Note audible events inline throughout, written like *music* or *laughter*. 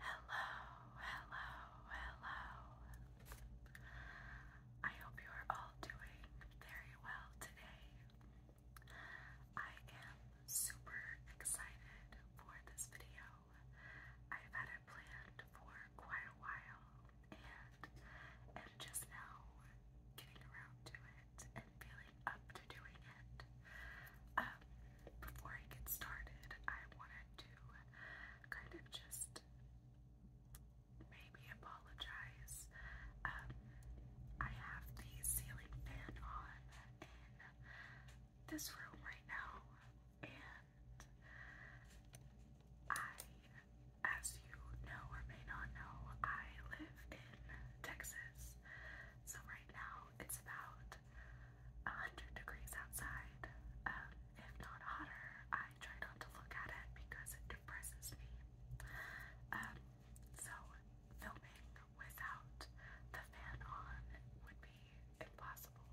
Hello, hello, hello. I hope you are all doing very well today. I am super excited for this video. I've had it planned for quite a while and am just now getting around to it and feeling up to doing it. Um, before I get started, I wanted to kind of just maybe apologize. Um, I have the ceiling fan on in this room right now, and I, as you know or may not know, I live in Texas. So right now it's about 100 degrees outside, um, if not hotter. I try not to look at it because it depresses me. Um, so, filming without the fan on would be impossible.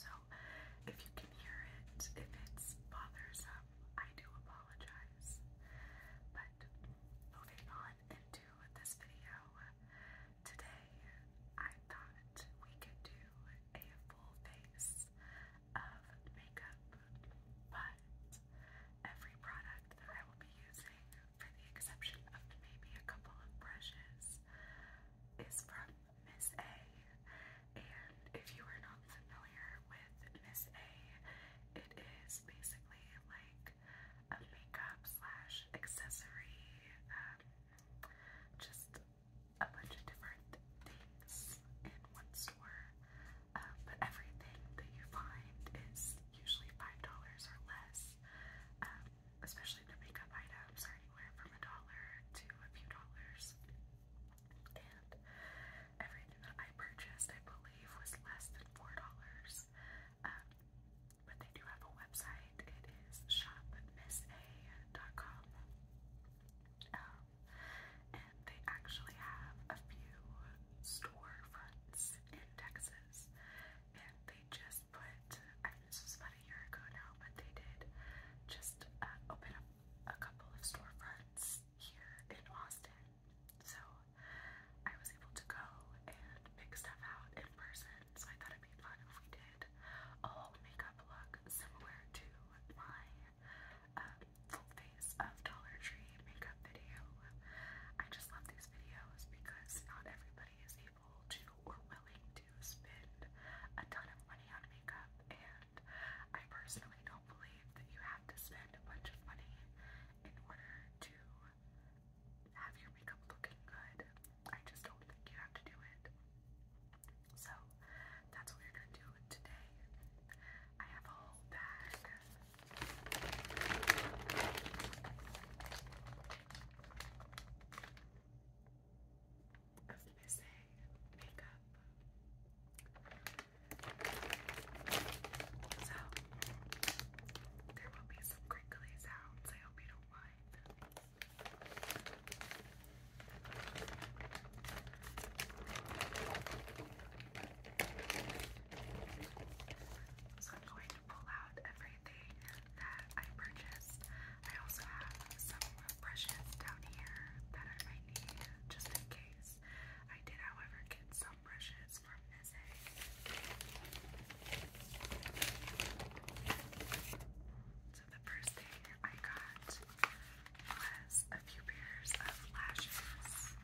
So, if you can hear it, if it's bothersome, I do apologize. But moving on into this video. Today, I thought we could do a full face of makeup, but every product I will be using, for the exception of maybe a couple of brushes, is from Miss A. And if you are not familiar with Miss A, it is basically like a makeup slash accessory, um, just a bunch of different things in one store. Uh, but everything that you find is usually five dollars or less. Um, especially the makeup items are anywhere from a dollar to a few dollars. And everything that I purchased, I believe, was less than four dollars. Um, but they do have a website. It is shopmissa.com. Um, and they actually have a few storefronts in Texas. And they just put, I mean, this was about a year ago now, but they did just uh, open up a couple of storefronts here in Austin. So I was able to go and pick stuff out in person so I thought it'd be fun if we did a whole makeup look similar to my um, full face of Dollar Tree makeup video. I just love these videos because not everybody is able to or willing to spend a ton of money on makeup, and I personally don't believe that you have to spend a bunch of money in order to have your makeup looking good. I just don't think you have to do it. So that's what we're gonna do today. I have a whole bag. Of missing makeup. So, there will be some crinkly sounds. I hope you don't mind. So I'm going to pull out everything that I purchased. I also have some brushes down here that I might need just in case. I did, however, get some brushes from so the first thing I got was a few pairs of lashes.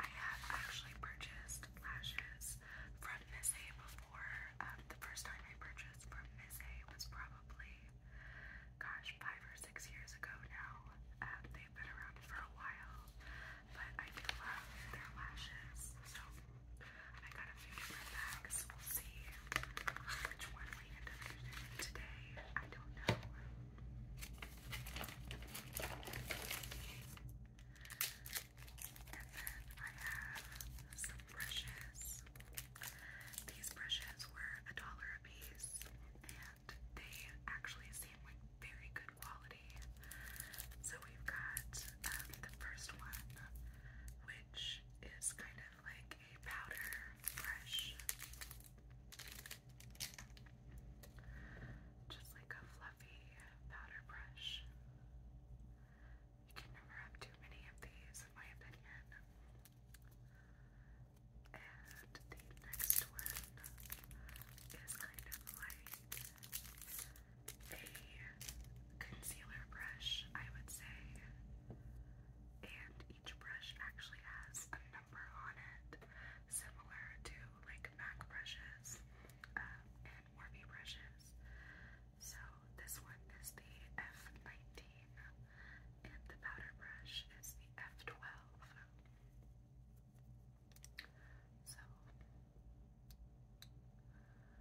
I have actually purchased lashes from Miss A before. Um, the first time I purchased from Miss A was probably, gosh, five or six years ago now. Um, they've been around for a while but I do love their lashes, so I got a few different bags. We'll see which one we end up using today. I don't know. And then I have some brushes. These brushes were a dollar a piece, and they actually seem like very good quality already. So we've got um, the first one, which is kind of like a powder brush, just like a fluffy powder brush. You can never have too many of these, in my opinion. And the next one is kind of like a concealer brush, I would say. And each brush actually has a number on it, similar to like MAC brushes uh, and Morphe brushes. So this one is the F19, and the powder brush is the F12. So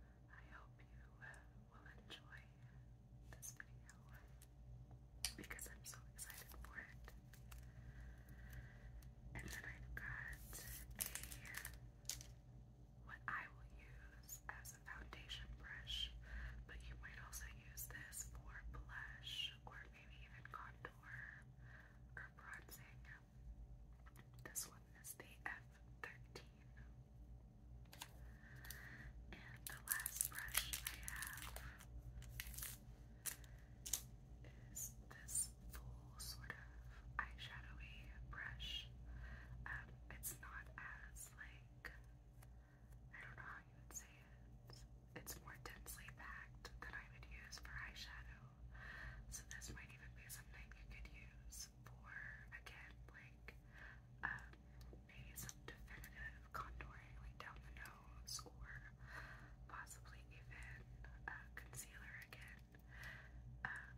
I hope you uh, will enjoy this video because I'm so excited for it. And then I've got a what I will use as a foundation brush, but you might also use this for blush or maybe even contour or bronzing. This one is the F13. And the last brush I have is this full sort of eyeshadowy brush. Um, it's not as like I don't know how you would say it. It's more densely packed than I would use for eyeshadow. So this might even be something you could use for again like um, maybe some definitive contouring like down the nose or possibly even uh, concealer again. Um,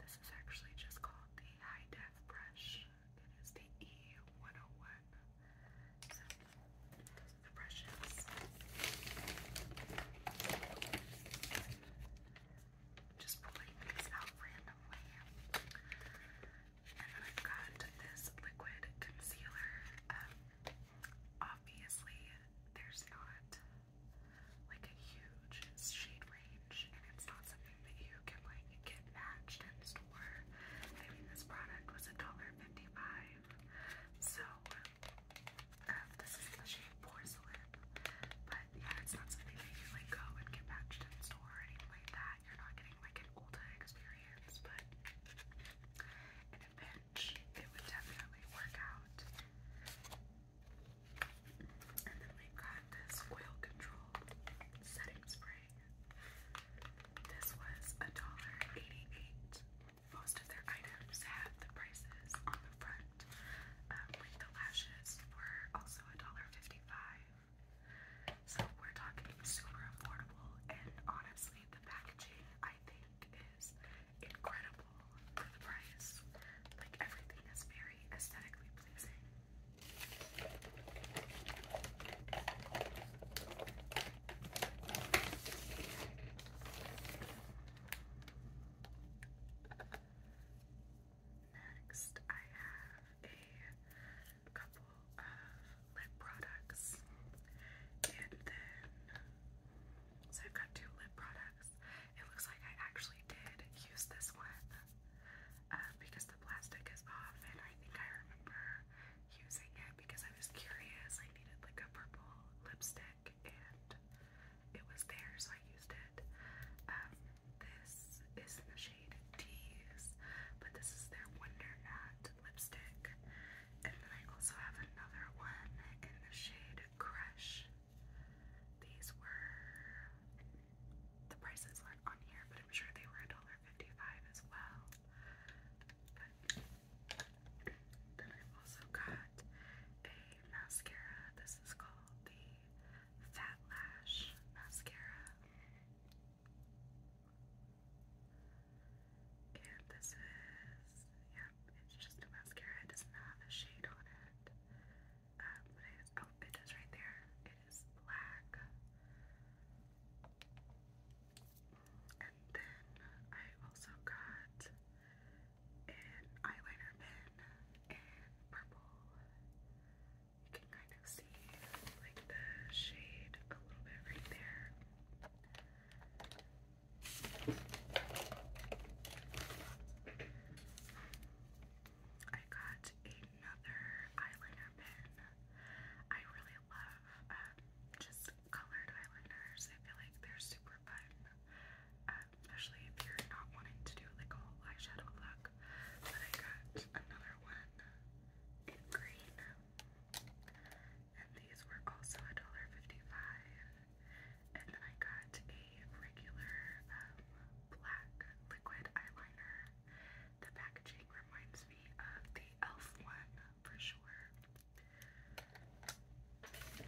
this is actually just called the High Def brush. It is the E101. So the brushes just pulling these out randomly. And then I've got this liquid concealer. Um, obviously, there's not like a huge shade range, and it's not something that you can like get matched in store. I mean, this product was a dollar fifty-five, so um, this is the shade porcelain, but yeah, it's not something that you like go and get matched in store or anything like that. You're not getting like an Ulta experience, but in a pinch, it would definitely work out. And then we've got this oil control setting spray. This was a dollar eighty-eight. Most of their items have the prices on the front, um, the lashes were also $1.55. So we're talking super affordable, and honestly, the packaging I think is incredible for the price. Like everything is very aesthetically pleasing. Next, I have a couple of lip products, and then so I've got two lip products. It looks like I actually did use this one uh, because the plastic is off, and I think I remember using it because I was curious. I needed like a purple lipstick, and it was there, so I used it. Um, this is in the shade Tease, but this is their Wonder Nut lipstick. And then I also have another one in the shade Crush. These were the prices aren't on here, but I'm sure they were $1.55 as well. But then i also got a mascara. This is called the Fat Lash Mascara. And this is, yep, it's just a mascara. It doesn't have a shade on it. Um, but it is, oh, it is right there. It is black. And then I also got an eyeliner pen in purple. You can kind of see like the shade a little bit right there. I got another eyeliner pen. I really love um, just colored eyeliners. I feel like they're super fun. Um, especially if you're not wanting to do like a whole eyeshadow look. But I got another one in green. And these were also $1.55. And then I got a regular um, black liquid eyeliner. The packaging reminds me of the e.l.f. one for sure. I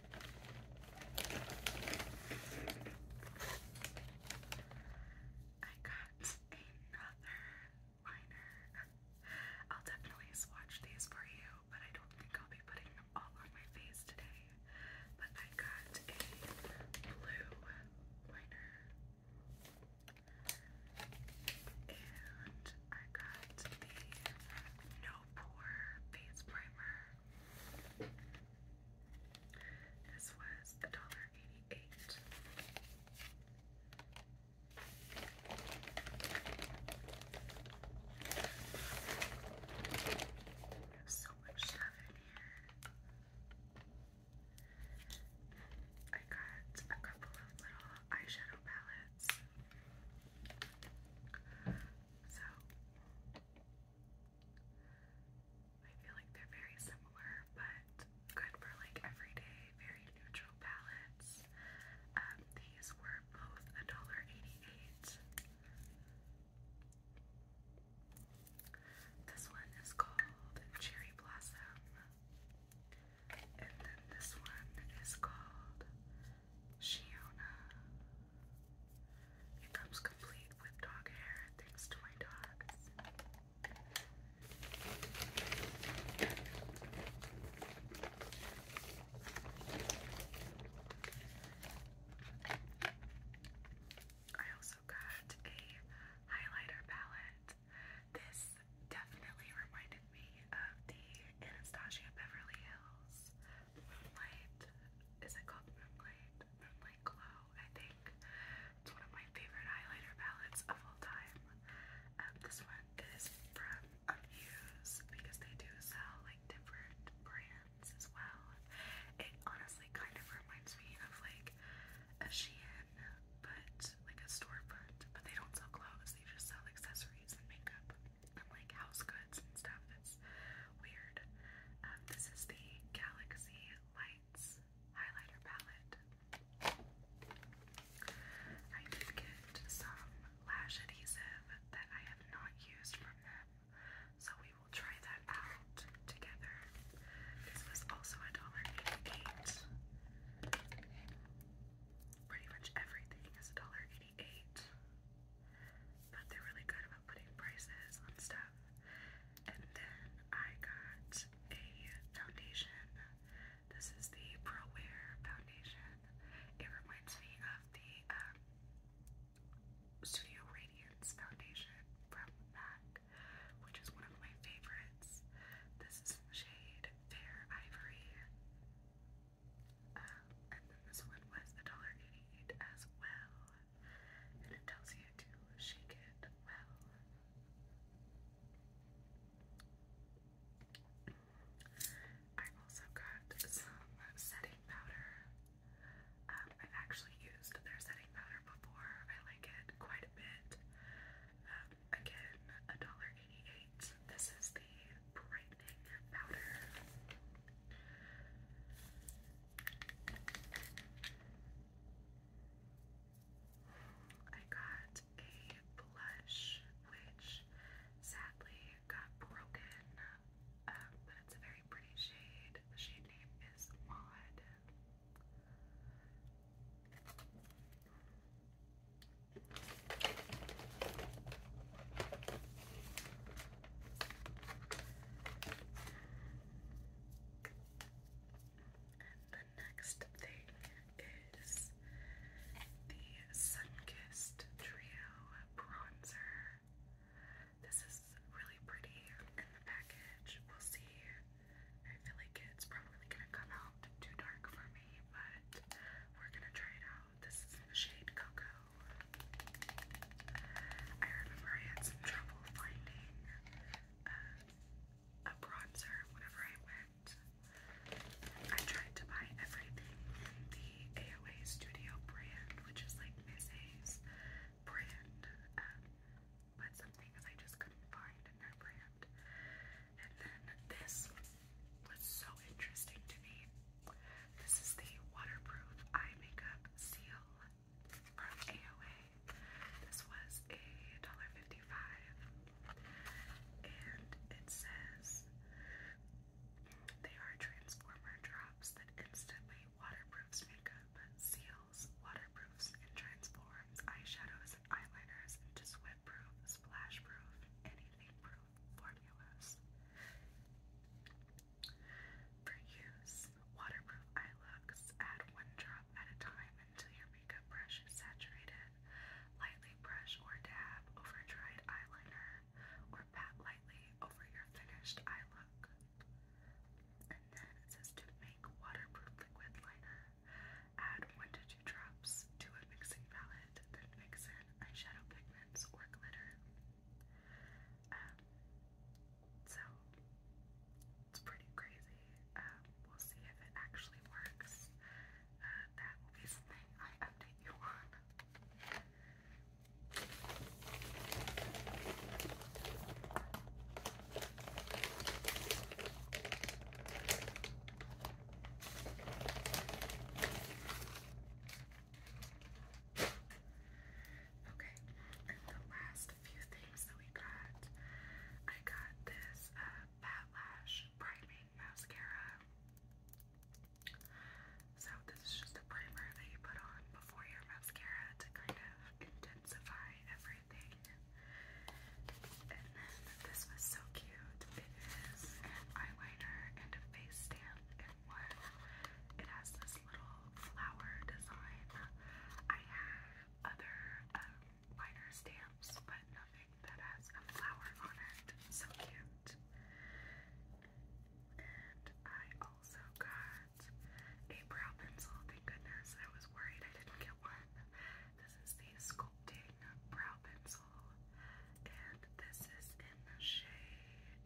got another liner. I'll definitely swatch these for you, but I don't think I'll be putting them all on my face today. But I got a blue liner. And I got the No Pore Face Primer. This was a dollar eighty-eight. so much stuff in here. I got a couple of little eyeshadow palettes. So I feel like they're very similar, but good for like everyday, very neutral palettes. Um, these were both $1.88. This one is called Cherry Blossom. And then this one is called Shiona. It comes complete with dog hair, thanks to my dogs. I also got a highlighter palette. This definitely reminded me of the Anastasia Beverly Hills Moonlight. Is it called Moonlight Glow. I think it's one of my favorite highlighter palettes of all time. Um, this one is from Amuse because they do sell like different brands as well. It honestly kind of reminds me of like a Shein, but like a storefront. But they don't sell clothes; they just sell accessories and makeup and like house goods and stuff. It's weird. Um, this is the Galaxy Lights highlighter palette. I did get some lash adhesive that I have not used from them, so we will try that out together. This was also $1.88. Pretty much everything is $1.88 but they're really good about putting prices on stuff. And then I got a foundation. This is the Pro ProWare foundation. It reminds me of the um, Studio Radiance foundation from MAC, which is one of my favorites. This is the shade Fair Ivory. Um, and then this one was $1.88 as well it tells you to shake it well. I also got some setting powder. Um, I've actually used their setting powder before. I like it quite a bit. Um, again, $1.88. This is the brightening powder. I got a blush which sadly got broken, but it's a very pretty shade. The shade name is Maud. And the next thing is the Sunkissed Trio Bronzer. This is really pretty in the package. We'll see. I feel like it's probably gonna come out too dark for me, but we're gonna try it out. This is in the shade Cocoa. I remember I had some trouble finding uh, a bronzer whenever I went. I tried to buy everything the AOA Studio brand, which is like Miss A's brand, um, but some things I just couldn't find in their brand. And then this was so interesting to me. This is the waterproof eye makeup seal from AOA. This was a dollar fifty-five, and it says they are transformer drops that instantly waterproofs makeup, seals, waterproofs, and transforms eyeshadows and eyeliners into sweat-proof, splash-proof, anything-proof formulas. For use, waterproof eye looks. Add one drop at a time until your makeup brush is saturated. Lightly brush or dab over dried eyeliner, or pat lightly over your finished eye look. And then it says to make waterproof liquid liner. Add one to two drops to a mixing palette, then mix in eyeshadow pigments or glitter. Um, so it's pretty crazy. Um, we'll see if it actually works. Uh, something I update you on. Okay, the last few things that we got, I got this uh, Bat Mascara. So this is just a primer that you put on before your mascara to kind of intensify everything. And then this was so cute. It is eyeliner and a face stand in one. It has this little flower design. I have other um, stamps, but nothing that has a flower on it. So cute. I also got a brow pencil. Thank goodness. I was worried I didn't get one. This is the Sculpting Brow Pencil. And this is in the shade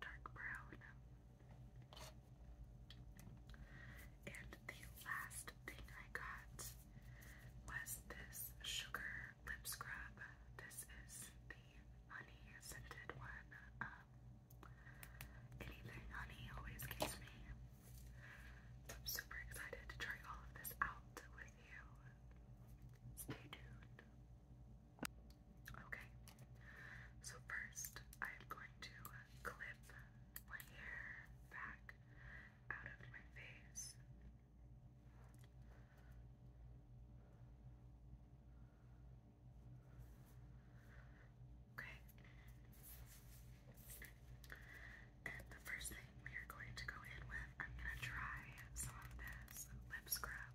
Dark Brown. And the last thing I got was this sugar lip scrub. This is the honey scented one. Um, anything honey always gets me. I'm super excited to try all of this out with you. Stay tuned. Okay, so first I am going to clip my hair back out of my face. Okay, and the first thing we are going to go in with, I'm going to try some of this lip scrub.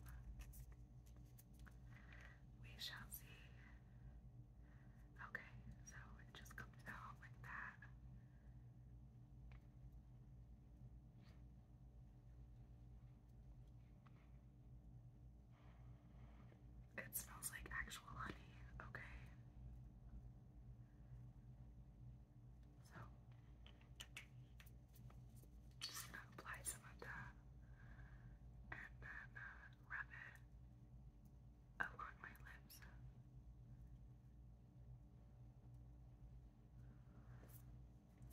We shall see. Okay, so it just comes out like that. It smells like actual honey, okay? So, just gonna apply some of that and then uh, rub it along my lips.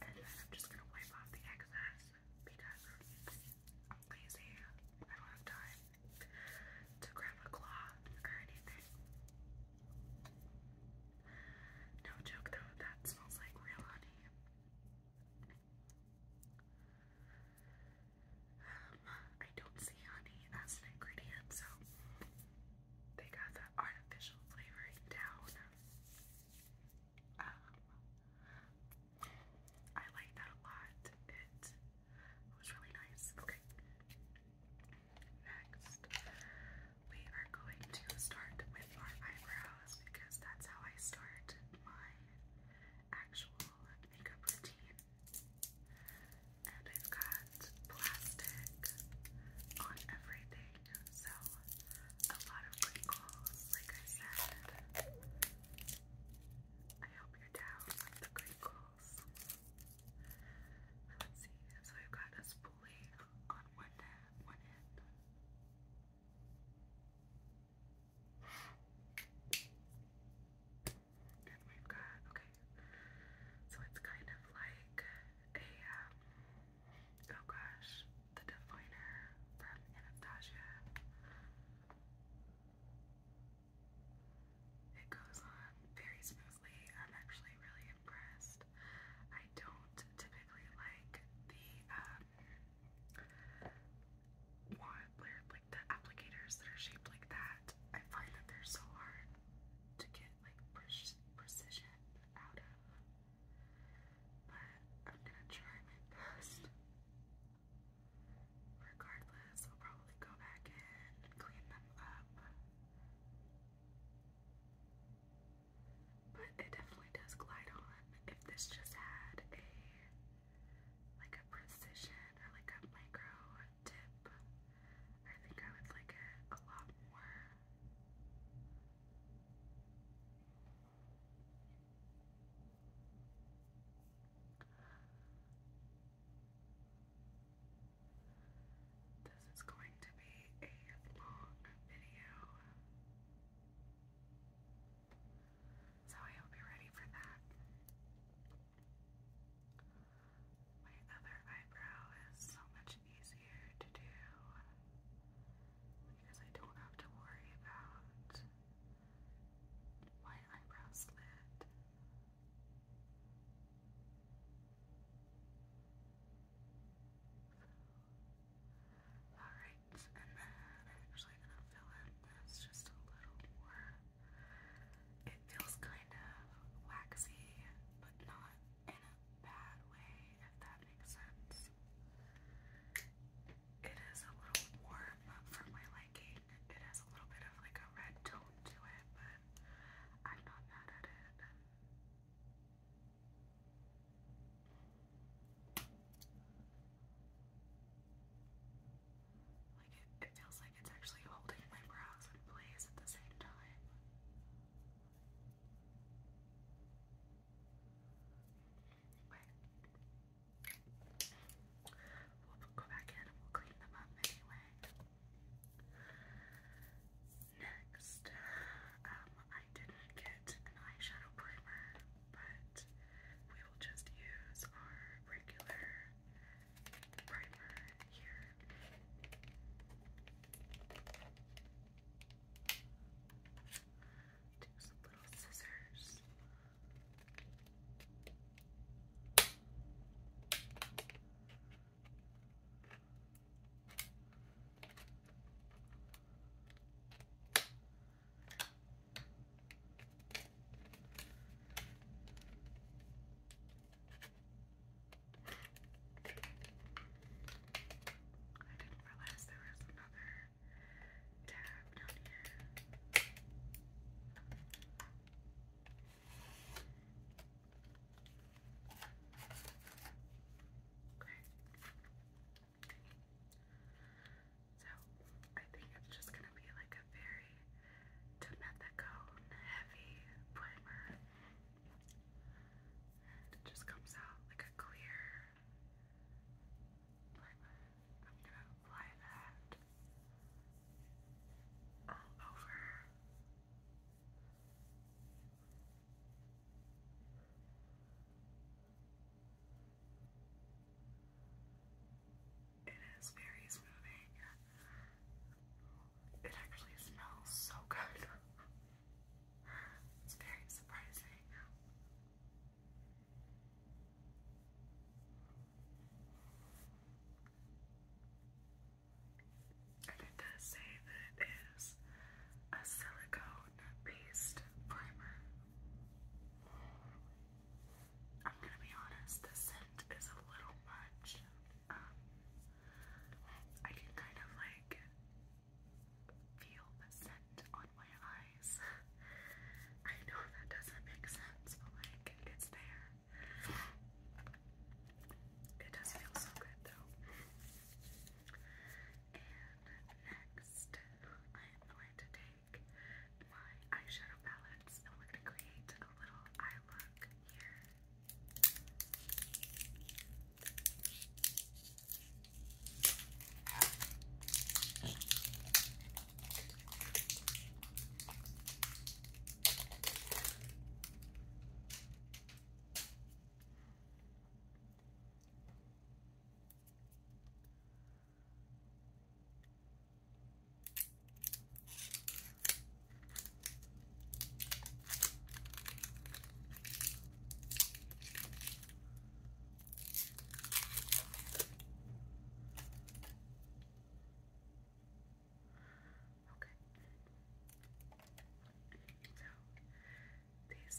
And then I'm just gonna wipe off the excess because lazy. I don't have time to grab a cloth or anything. No joke though, that smells like real honey. I don't see honey as an ingredient, so they got the artificial flavoring down. Um, I like that a lot. It was really nice. Okay. Next, we are going to start with our eyebrows because that's how I start my actual makeup routine. And I've got plastic on everything, so a lot of wrinkles, like I said. I hope you're down with the wrinkles. Let's see, so I've got a spoolie on one one end. And we've got, okay, so it's kind of like a, um, oh gosh, the definer from Anastasia. It goes on very smoothly. I'm actually really impressed. I don't typically like the um, want like the applicators that are shaped like that. I find that they're so hard to get like precision out of. But I'm gonna try my best. Regardless, I'll probably go back in and clean them up. But it definitely does glide on if this just had a like a precision or like a micro tip, I think I would like it a lot more. This is going to be a long video. So I hope you're ready for that. My other eyebrow is so much easier to do because I don't have to worry about my eyebrow slit. Alright, and then I'm actually gonna fill in this just a little more. It feels kind of waxy, but not in a bad way, if that makes sense. It is a little warm for my liking. It has a little bit of like a red tone to it, but I'm not mad at it. Like it, it feels like it's actually holding my brows in place at the same time. Wait. We'll go back in and we'll clean them up anyway. Next, um, I didn't get an eyeshadow primer but we will just use our regular primer here. Take some little scissors. I didn't realize there was another tab down here. Okay. So I think it's just gonna be like a very do heavy primer. And it just comes out like a clear primer. I'm gonna apply that over. It is very smoothing. It actually smells so good. It's very surprising. And it does say that it is a silicone based primer. I'm gonna be honest, the scent is a little much. Um, I can kind of like feel the scent on my eyes. *laughs* I know that doesn't make sense, but like it's there. It does feel so good though. And next, I am going to take take my eyeshadow palettes and we're gonna create a little eye look here. Okay.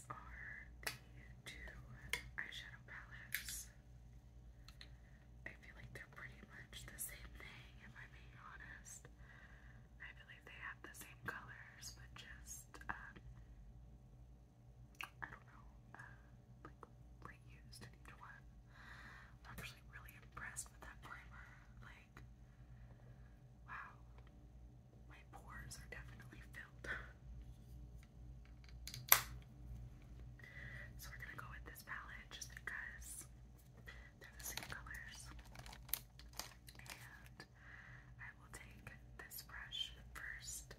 So these are the two eyeshadow palettes I feel like they're pretty much the same thing, if I'm being honest. I believe they have the same colors, but just, um, I don't know, uh, like reused in each one. I'm actually really impressed with that primer. Like, wow, my pores are definitely filled. *laughs* So we're gonna go with this palette just because they're the same colors. And I will take this brush first.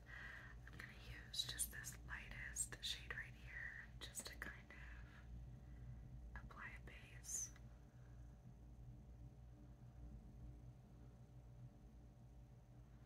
I'm gonna use just this lightest shade right here just to kind of apply a base.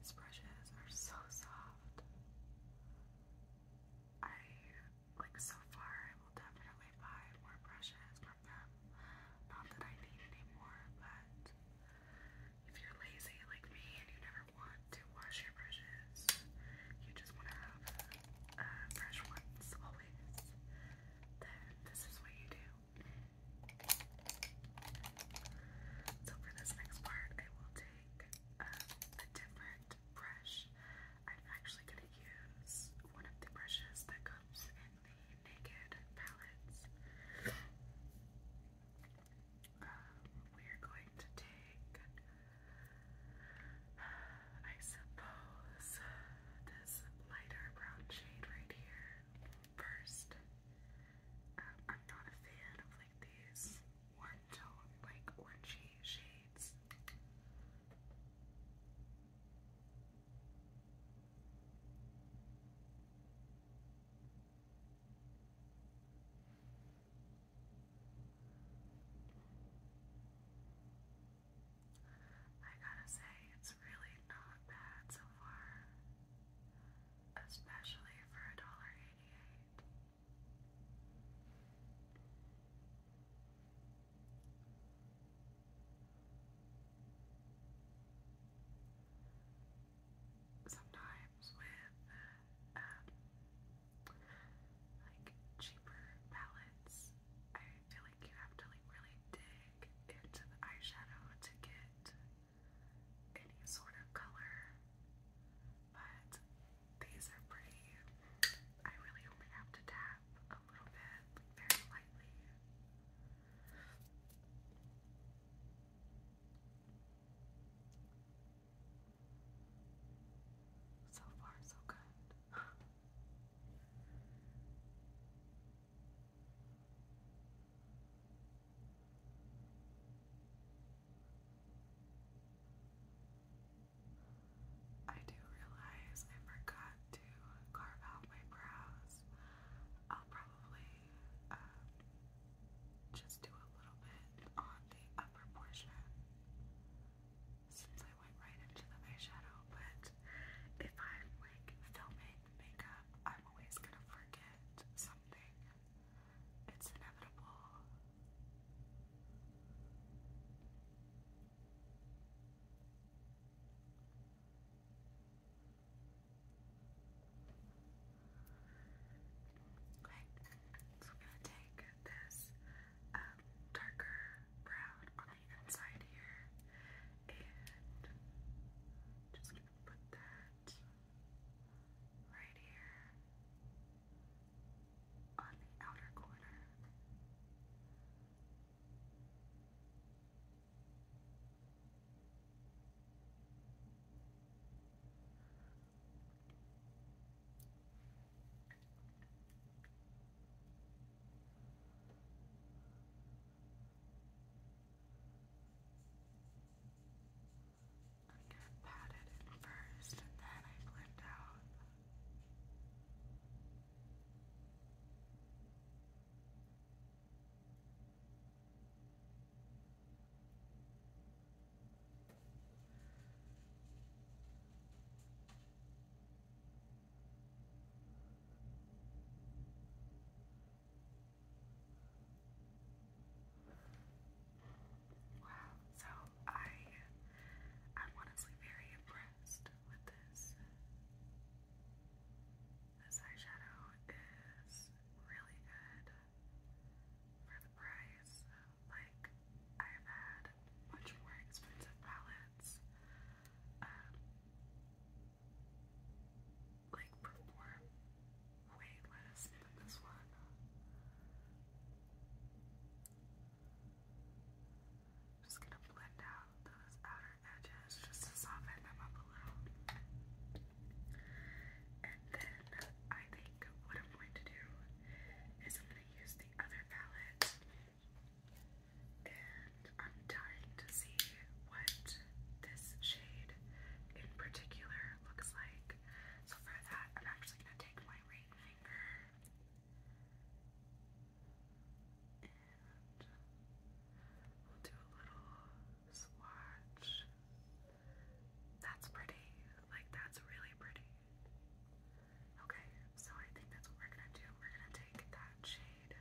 These brushes are so soft. I like so far I will definitely buy more brushes from them. Not that I need any more, but if you're lazy like me and you never want to wash your brushes, you just want to have uh, fresh ones always then this is what you do. So for this next part, I will take a um, different brush. I'm actually going to use one of the brushes that comes in the Naked palettes. Um, we are going to take. I suppose this lighter brown shade right here first. Um, I'm not a fan of like these warm tone, like orangey shades. I gotta say, it's really not bad so far, especially for a dollar eighty-eight. Sometimes with um, like cheaper palettes, I feel like you have to like really dig into the eyeshadow to get any sort of color, but these are pretty. I really only have to tap a little bit, very lightly. So far, so good. I do realize I forgot to carve out my brows. I'll probably um, just do a little bit on the upper portion since I went right into the eyeshadow, but if I'm like filming makeup, I'm always gonna forget something. It's inevitable. Okay, so I'm gonna take this um, darker brown light inside here, and just gonna put that right here on the outer corner. I'm gonna it first and then I blend out. Wow, so I I'm honestly very impressed with this. This eyeshadow is really good for the price. Like I've had much more expensive palettes um, like perform way less this one. Just gonna blend out those outer edges just to soften them up a little. And then I think what I'm going to do is I'm gonna use the other palette and I'm dying to see what this shade in particular looks like. So for that, I'm actually going to take my ring finger and we'll do a little swatch. That's pretty. Like, that's really pretty. Okay, so I think that's what we're gonna do. We're gonna take that shade need.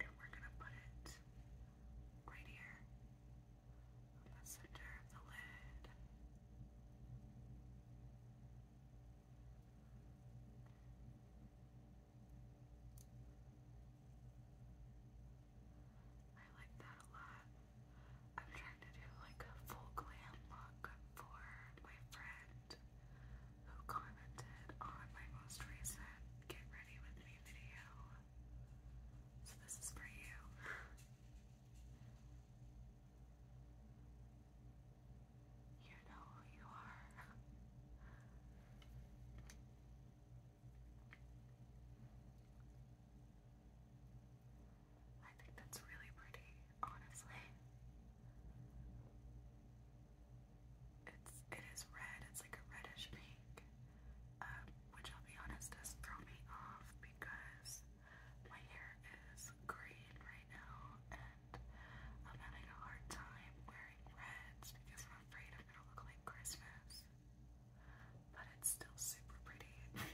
And we're going to put it right here in the center of the lid. I like that a lot. I'm trying to do like a full glam look for my friend Raymond who commented on my most recent Get Ready With Me video. So this is for you. *laughs* You know who you are. I think that's really pretty, honestly. It's it is red. It's like a reddish pink, um, which I'll be honest does throw me off because my hair is green right now, and I'm having a hard time wearing reds because I'm afraid I'm gonna look like Christmas. But it's still super pretty. *laughs*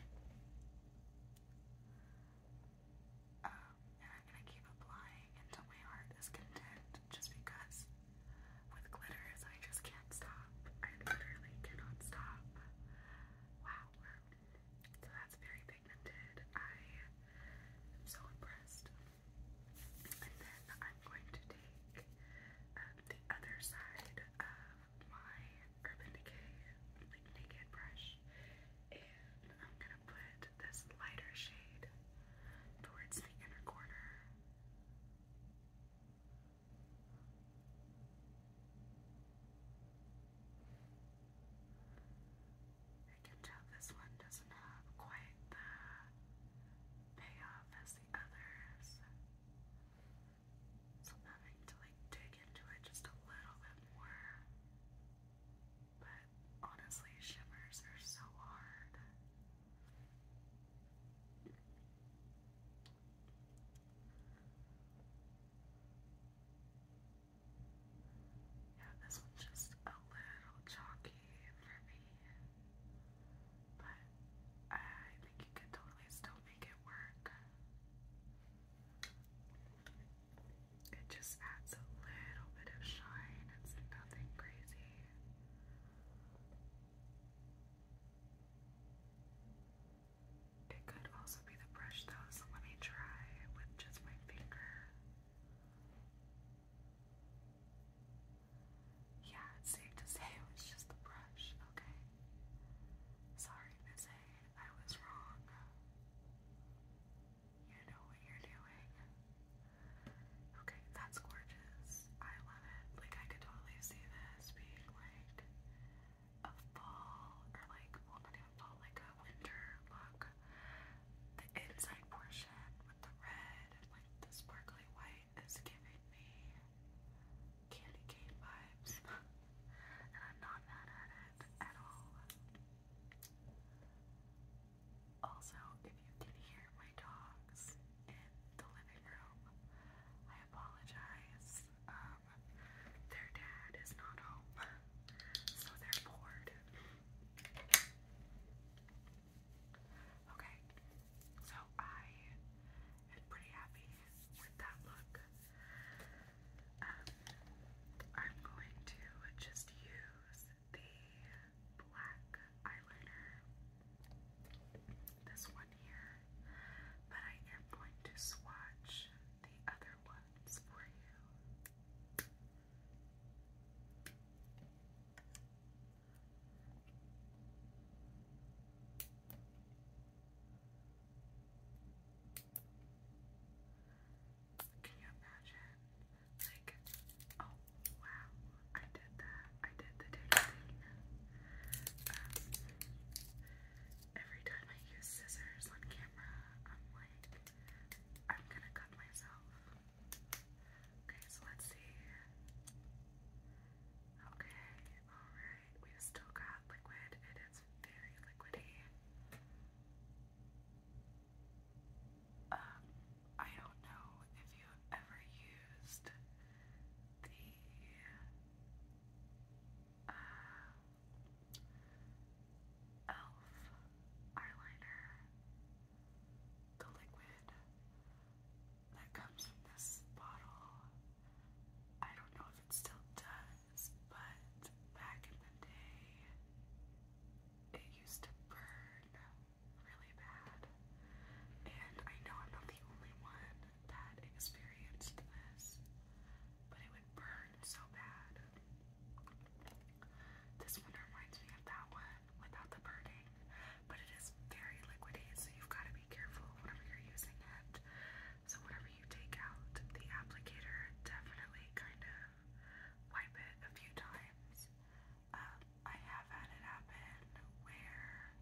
and I'm gonna keep applying until my heart is content just because with glitters I just can't stop. I literally cannot stop. Wow. So that's very pigmented. I am so impressed. And then I'm going to take um, the other side of my Urban Decay naked brush and I'm gonna put this lighter shade towards the inner corner. I can tell this one doesn't have quite the payoff as the others. So I'm having to like dig into it just a little bit more. But honestly, shimmers are so hard. Yeah, this one's just a little chalky for me. But I think you could totally still make it work. It just adds a little bit of shine. It's nothing crazy. It could also be the brush though, so let me try with just my finger. Yeah, it's safe to say it was just the brush, okay. Sorry, Miss A, I was wrong. You know what you're doing. Okay, that's gorgeous. I love it. Like, I could totally see this being like a fall or like, well, not even fall, like a winter look. The inside portion with the red like the sparkly white is giving me candy cane vibes. *laughs* and I'm not mad at it at all. Also, if you can hear my dogs in the living room, I apologize. Um, their dad is not home, so they're bored. Okay, so I am pretty happy with that look. Um, I'm going to just use the black eyeliner, this one here, but I am going to swatch the other ones for you. Can you imagine? Like, oh wow, I did that. I did the taking. Um, every time I use scissors on camera, I'm like, I'm gonna cut myself. Okay, so let's see. Okay, alright. we still got liquid. It is very liquidy. Um, I don't know if you ever used the uh, e.l.f. eyeliner, the liquid that comes in this bottle. I don't know if it still does, but back in the day, it used to burn really bad. And I know I'm not the only one that experienced this, but it would burn so bad. This one reminds me of that one without the burning, but it is very liquidy, so you've got to be careful whenever you're using it. So, whenever you take out the applicator, definitely kind of wipe it a few times. Um, I have had it happen where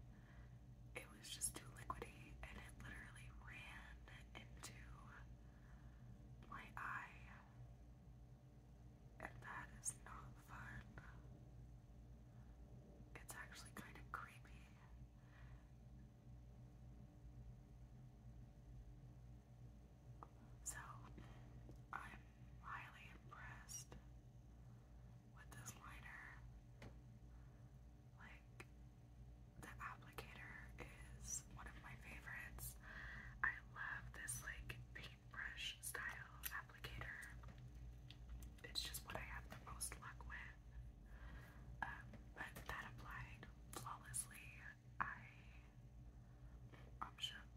it was just too liquidy and it literally ran into my eye. And that is not fun. It's actually kind of creepy. So, I'm highly impressed with this liner. Like, the applicator is one of my favorites. I love this, like, paintbrush style applicator. It's just what I have the most luck with. Um, but that applied flawlessly. I am shook.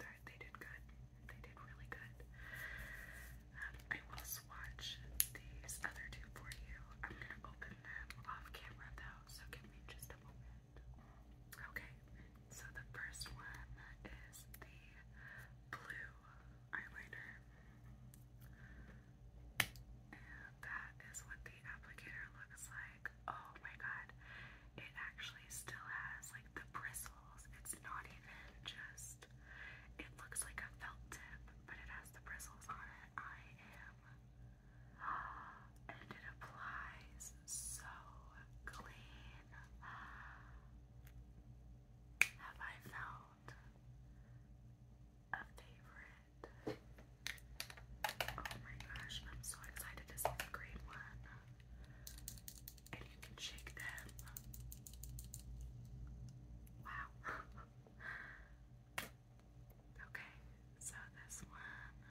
they they did good. They did really good. Um, I will swatch these other two for you. I'm gonna open them off camera though, so give me just a moment. Okay, so the first one is the blue eyeliner. that is what the applicator looks like oh my god, it actually still has like the bristles. It's not even just, it looks like a felt tip, but it has the bristles on it. I am, and it applies so clean. Have I found a favorite? Oh my gosh, I'm so excited to see the green one and you can shake them. Wow. *laughs* okay, so this one.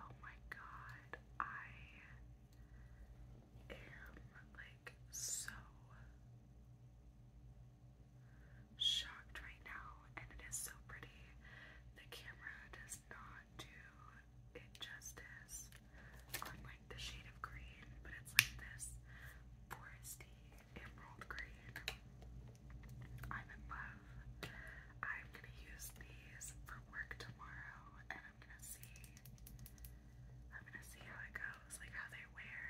Oh my god, I am like so shocked right now, and it is so pretty. The camera does does not do it justice on like the shade of green, but it's like this foresty emerald green. I'm in love. I'm gonna use these for work tomorrow, and I'm gonna see. I'm gonna see how it goes, like how they wear.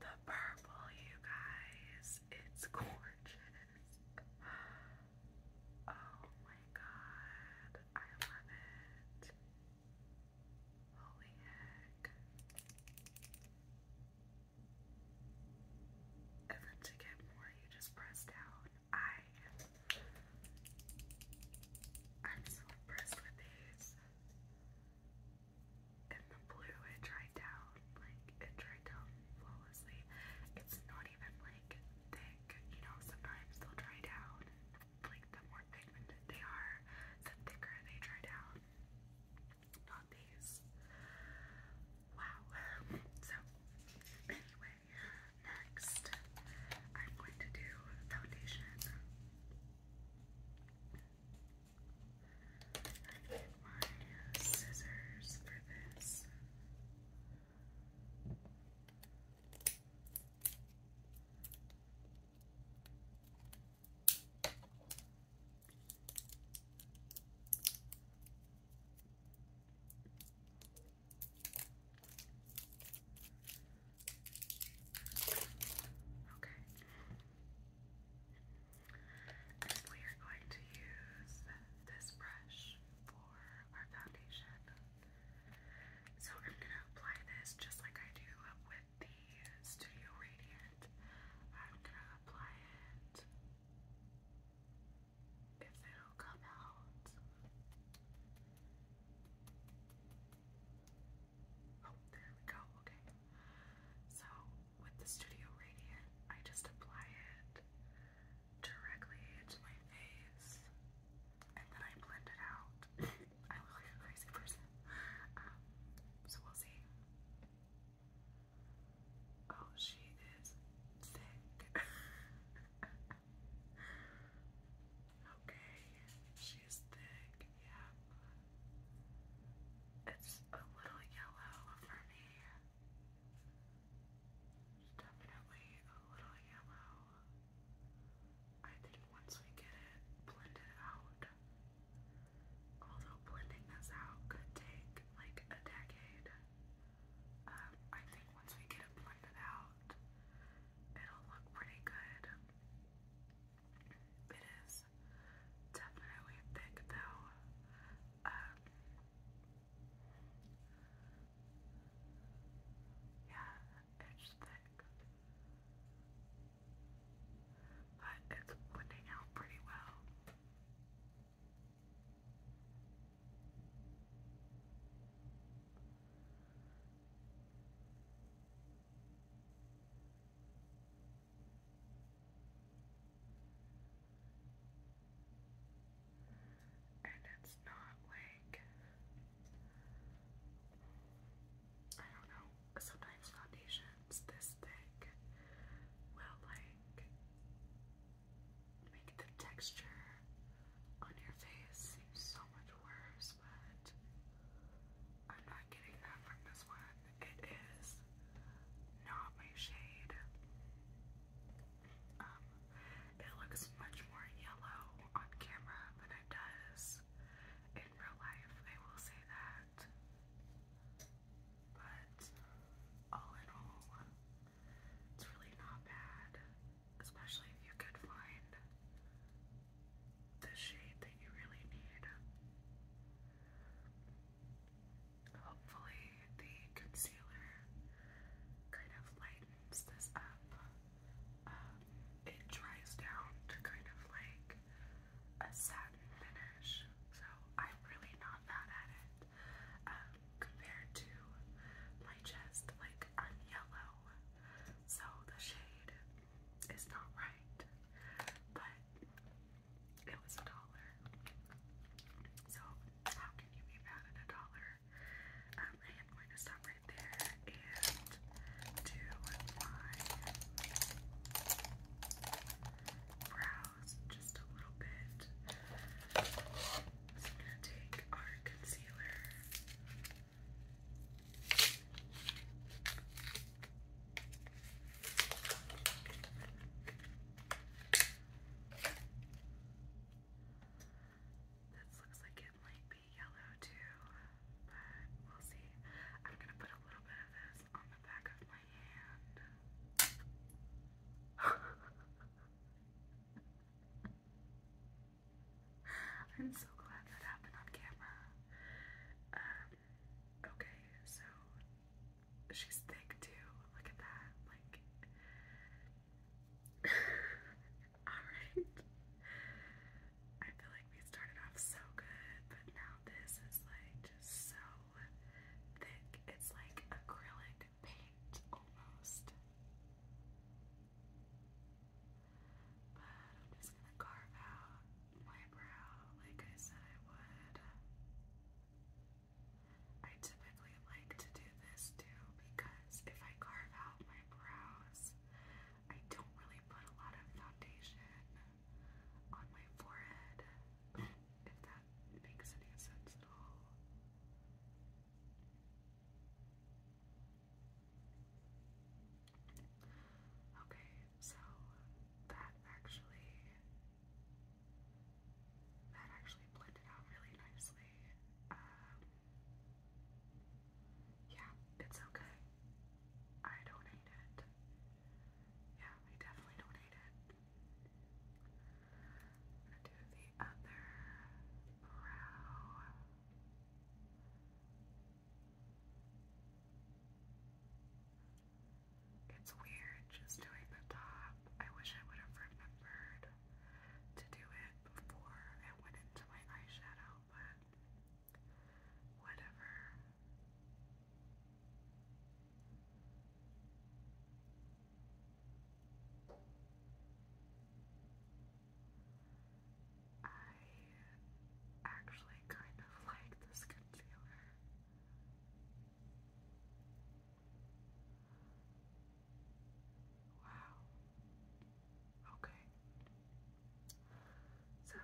The purple, you guys, it's gorgeous mask. Oh my god, I love it. Holy heck. And then to get more, you just press down. I am. I'm so impressed with these and the blue it dried down, like it dried down flawlessly. It's not even like thick, you know, sometimes they'll dry down. Like the more pigmented they are, the thicker they dry down. Not these. Wow. *laughs* So anyway, next I'm going to do foundation. I get my scissors for this. Okay. And we are going to use this brush for our foundation. So I'm going to apply this just like I do with the Studio Radiant. I'm going to apply it if it'll come out. Oh, there we go. Okay. So with the Studio Radiant, I just apply it directly to my face and then I blend it out. *coughs* I look like a crazy person. Um, so we'll see. Oh, she is *laughs* thick. okay, she's thick, yeah. It's a little yellow for me. There's definitely a little yellow. I think once we get it blended out, although blending this out could take like a decade, um, I think once we get it blended out, it'll look pretty good. It is definitely thick though. Um, yeah, it's thick. But it's blending out pretty well. And it's not like I don't know, sometimes foundations this thick will like make the texture on your face seem so much worse, but I'm not getting that from this one. It is not my shade. Um, it looks much more yellow on camera than it does in real life, I will say that. But all in all, it's really not bad, especially if you could find the shade that you really need. Hopefully the concealer kind of lightens this up. Um, it dries down to kind of like a satin finish. So I'm really not bad at it. Um, compared to my chest, like I'm yellow. So the shade is not right. But it was a dollar. So how can you be mad at a dollar? Um, I am going to stop right there and do my brows just a little bit. So I'm gonna take our concealer. This looks like it might be yellow too, but we'll see. I'm gonna put a little bit of this on the back of my hand. *laughs* I'm so glad that happened on camera. Um, okay, so she's thick too. Look at that. Like *laughs* Alright. I feel like we started off so good, but now this is like just so thick. It's like acrylic paint almost. But I'm just gonna carve out my brow like I said I would. I typically like to do this too because if I carve out my brows, I don't really put a lot of foundation on my forehead, if that makes any sense at all. Okay, so that actually that actually blended out really nicely. Um, yeah, it's okay. I don't hate it. Yeah, I definitely don't hate it. I'm gonna do the other brow. It's weird just doing the top. I wish I would have remembered to do it before I went into my eyeshadow, but whatever. I actually kind of like this concealer. Wow. Okay. So,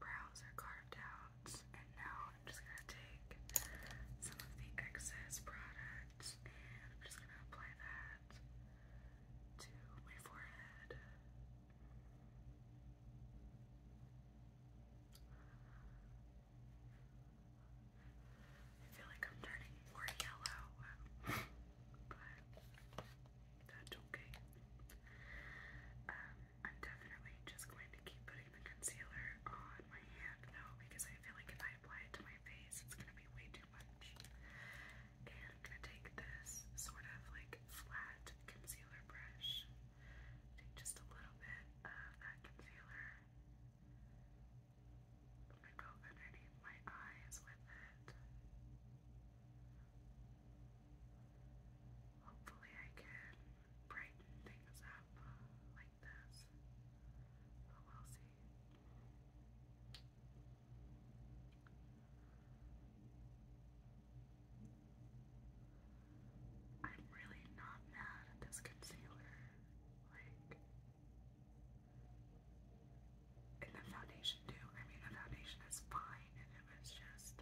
brows are carved out, and now I'm just gonna take some of the excess product and I'm just gonna apply that to my forehead. Okay. I feel like I'm turning more yellow, but that's okay. Um, I'm definitely just going to keep putting the concealer on my hand though, because I feel like if I apply it to my face, it's gonna be way too much. And I'm gonna take this sort of like flat concealer brush. Take just a little bit of that concealer. I'm underneath my eyes with it. Hopefully, I can brighten things up like this, but we'll see. I'm really not mad at this concealer. Like, and the foundation too. I mean, the foundation is fine, and it was just,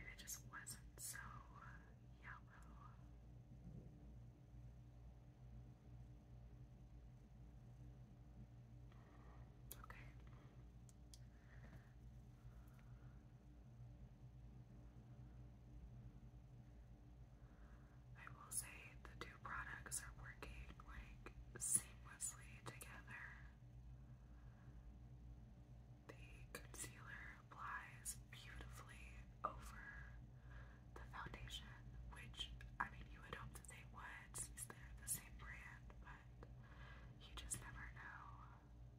and it just wasn't so uh, yellow. Okay. I will say the two products are working like seamlessly together. The concealer applies beautifully over the foundation, which I mean, you would hope they would they're the same brand, but you just never know.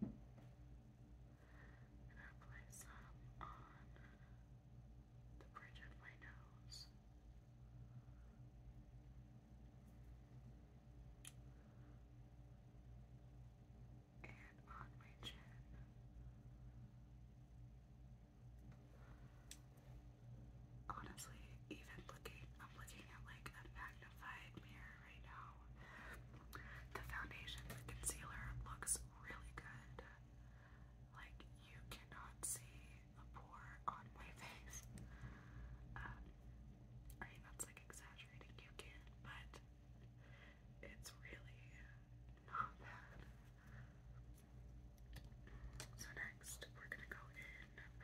And I apply some on the bridge of my nose. And on my chin. Honestly, even looking, I'm looking at like a magnified mirror right now. The foundation, the concealer looks really good. Like, you cannot see a pore on my *laughs* face. Um, I mean, that's like exaggerating, you but it's really not bad. So, next, we're gonna go in with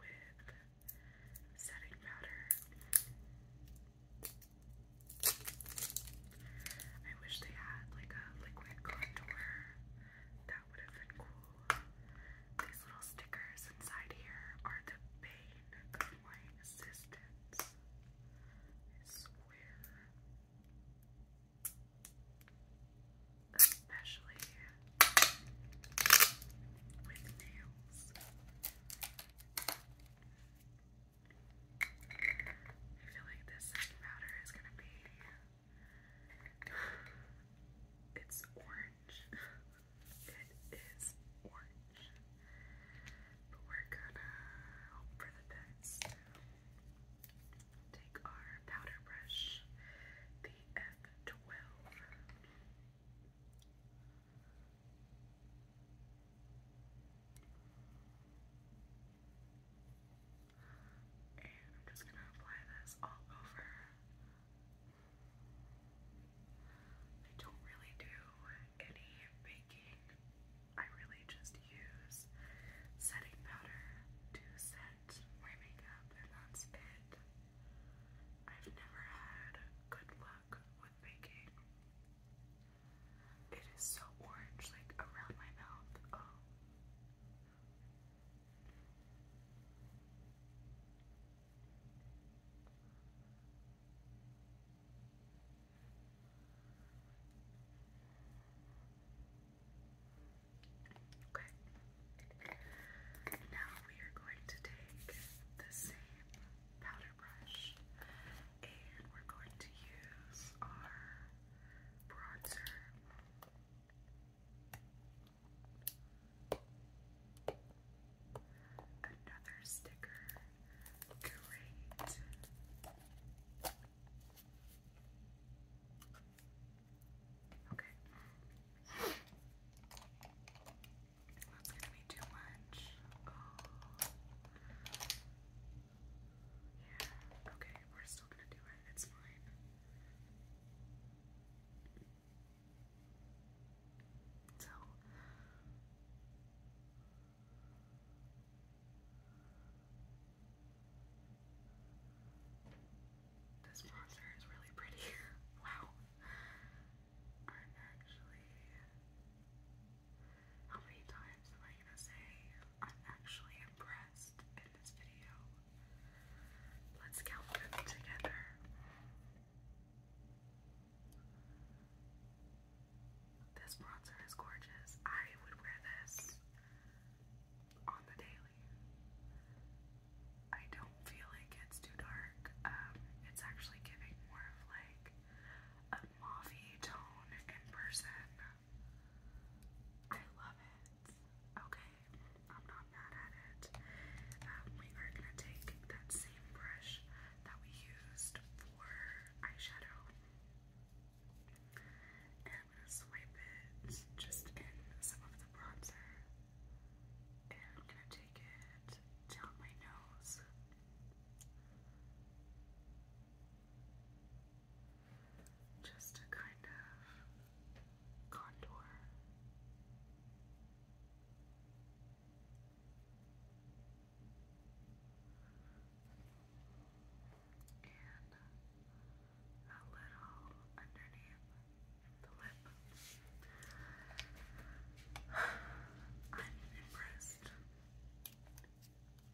setting powder. I wish they had like a liquid contour. That would have been cool. These little stickers inside here are the bane of my I swear. Especially with nails. I feel like this powder is gonna be. It's orange. It is orange. But we're gonna for the best. Take our powder brush, the F12. And I'm just going to apply this all over. I don't really do any baking. I really just use setting powder to set my makeup, and that's it. I've never had good luck with baking. It is so orange, like around my mouth. Oh. Okay. Now we are going to take the same powder brush and we're going to use our bronzer. Another sticker. Great. Okay. That's gonna be too much. Oh. Yeah, okay, we're still gonna do it. It's fine. So. This monster is really pretty. *laughs* wow. I'm actually. How many times am I gonna say I'm actually impressed in this video? Let's count them together. This bronzer is gorgeous. I would wear this on the daily. I don't feel like it's too dark. Um, it's actually giving more of like a mauve tone in person. I love it. Okay, I'm not mad at it. Um, we are gonna take that same brush that we used for eyeshadow, and I'm gonna swipe it just in some of the bronzer. And I'm going to take it down my nose. Just to kind of contour. And a little underneath I'm impressed.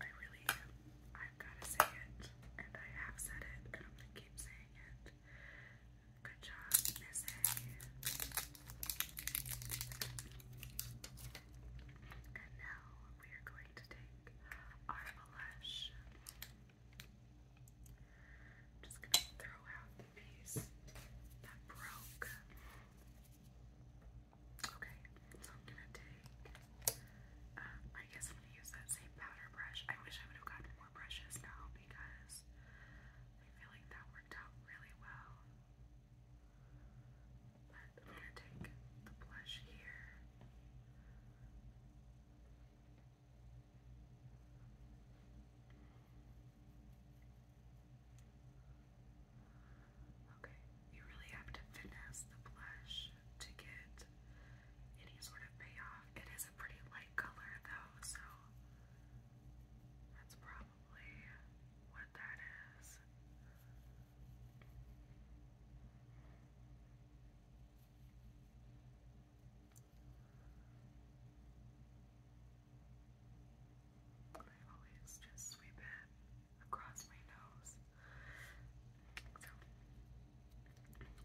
I really am. I've got to say it, and I have said it, and I'm going to keep saying it. Good job, Missy. And now we are going to take our blush. just going to throw out Okay, so I'm gonna take. Uh, I guess I'm gonna use that same powder brush. I wish I would have gotten more brushes now because I feel like that worked out really well. But I'm gonna take the blush here. Okay, you really have to finesse the blush to get any sort of payoff. It is a pretty light color though, so that's probably what that is. I always just sweep it across my nose.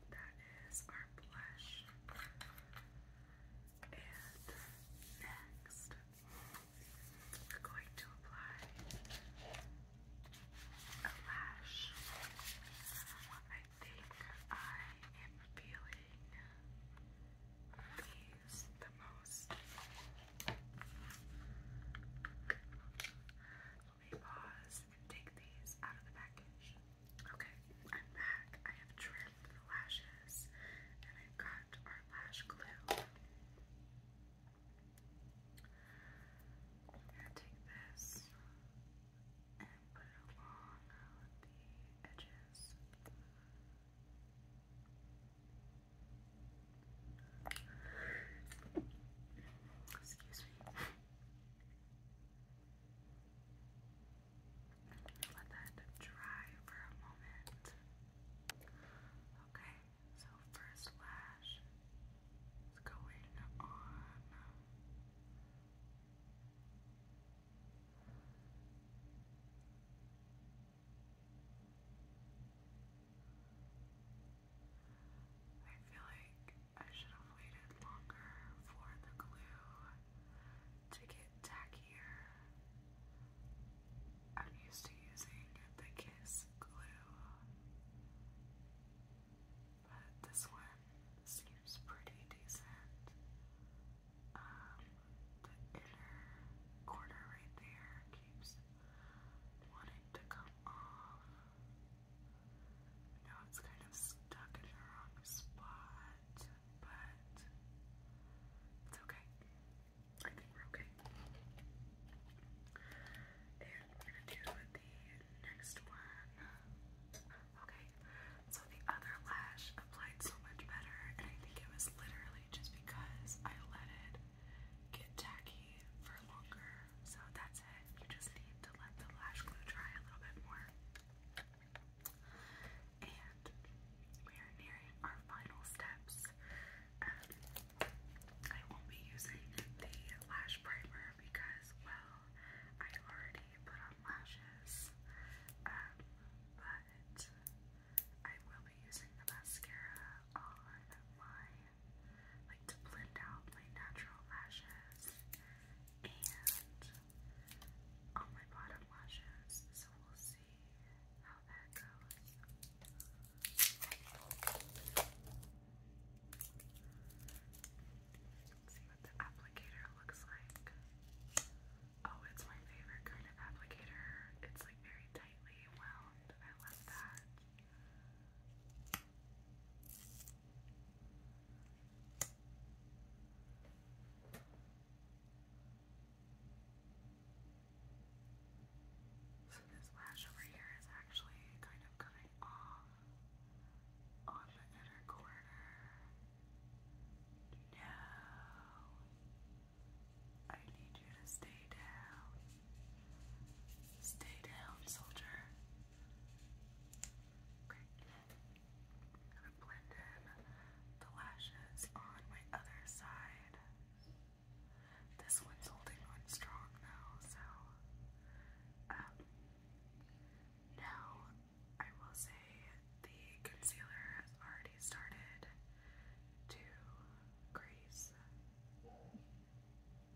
that is our blush. And next, we're going to apply a lash. I think I am feeling I use the most let me pause and take these out of the package. Okay, I'm back. I have trimmed the lashes and I've got our lash glue. i take this and put it along the edges. Excuse me. Let that dry for a moment. Okay, so first lash is going on I feel like I should have waited longer for the glue to get tackier. I'm used to using the Kiss glue, but this one seems pretty decent um, the inner corner right there keeps wanting to come off. Now it's kind of stuck in the wrong spot, but it's okay. I think we're okay. And we the next one. Okay, so the other lash applied so much better, and I think it was literally just because I let it get tacky for longer. So that's it. You just need to let the lash glue dry a little bit more. And we are nearing our final steps. Um, I won't be using the lash primer because, well, I already put on lashes. Um, but it. I will be using the mascara on my, like to blend out my natural lashes and on my bottom lashes, so we'll see how that goes. Let's see what the applicator looks like. Okay. Oh, it's my favorite kind of applicator. It's like very tightly wound. I love that. So this lash over here is actually kind of coming off on the inner corner. No, I need you to stay down. Stay down, soldier. Okay. gonna blend in the lashes on my other side. This one's holding on strong now, so. Um, I will say the concealer has already started to crease.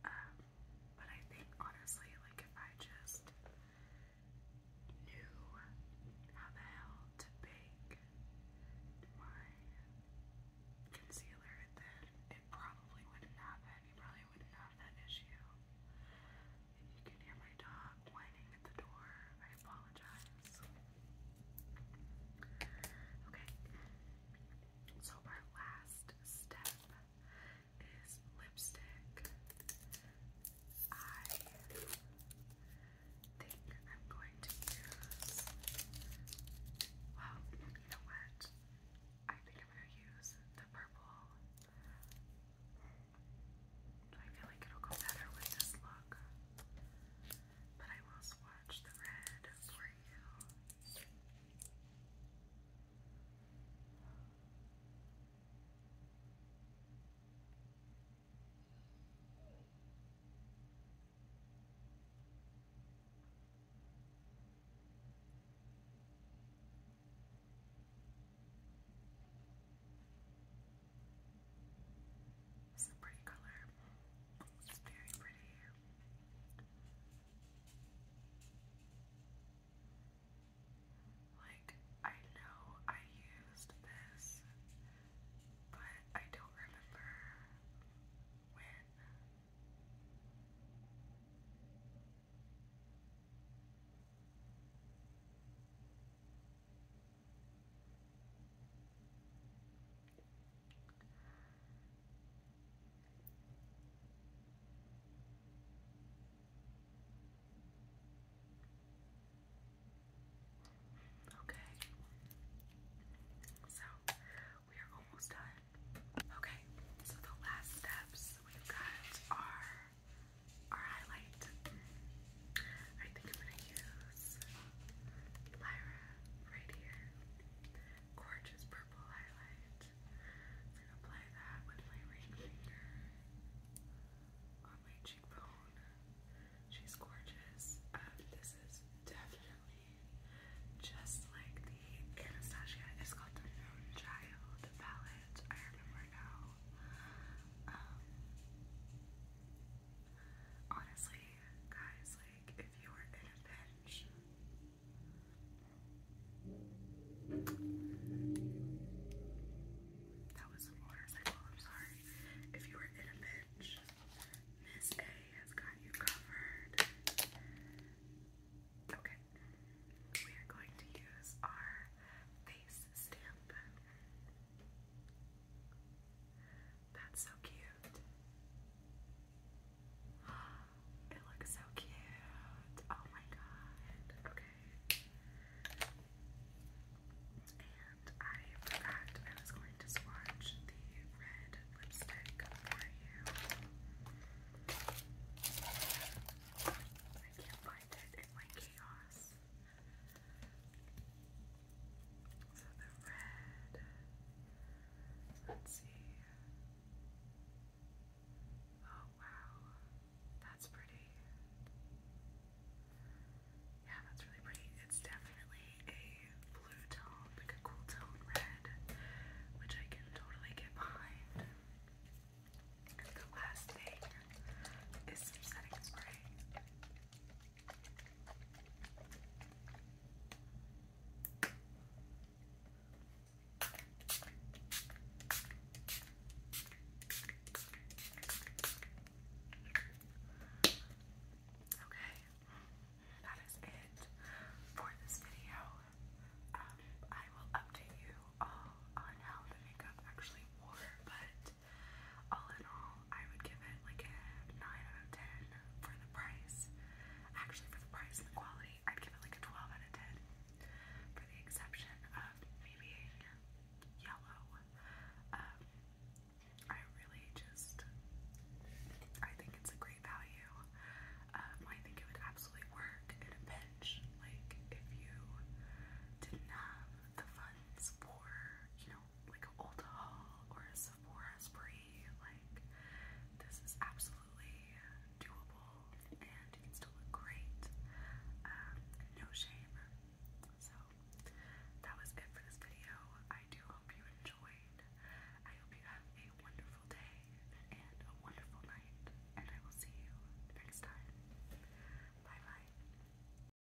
Um, but I think honestly, like if I just knew how the hell to bake my concealer, then it probably wouldn't happen. You probably wouldn't have that issue. If you can hear my dog whining at the door, I apologize. Okay, so our last step is lipstick. I think I'm going to use. Well, you know what? I think I'm going to use the purple. I feel like it'll go better with this look. But I will swatch the red for you. It's a pretty color. It's very pretty. Like, I know I used this, but I don't remember when. Okay. So we are almost done. Okay. So the last steps we've got are our highlight. I think I'm gonna use Lyra right here. Gorgeous purple highlight. I'm gonna apply that with my ring finger on my cheekbone. She's gorgeous. Um, this is definitely just like the Anastasia Escalterno Child palette. I remember now. Um, Honestly, guys, like if you were in a pinch, that was a motorcycle. I'm sorry. If you were in a pinch, Miss A has got you covered. Okay, we are going to use our face stamp. That's so cute. It looks so cute. Oh my god. Okay. And I forgot I was going to swatch the red lipstick for you. I can't find it in my chaos. So the red, let's see. Oh wow, that's pretty. Yeah, that's really pretty. It's definitely a blue tone, like a cool tone red, which I can totally get behind. the last thing is setting spray. Okay, that is it for this video. Um, I will update you all on how the makeup actually wore, but all in all, I would give it like a 9 out of 10 for the price. Actually, for the price and the quality, I'd give it like a 12 out of 10. For the exception of me yellow, um, I really just, I think it's a great value. Um, I think it would absolutely work in a pinch. Like, if you didn't have the funds for, you know, like an old haul or a Sephora spree. Like this is absolutely doable, and you can still look great. Um, no shame. So that was it for this video. I do hope you enjoyed. I hope you have a wonderful day and a wonderful night, and I will see you next time. Bye bye.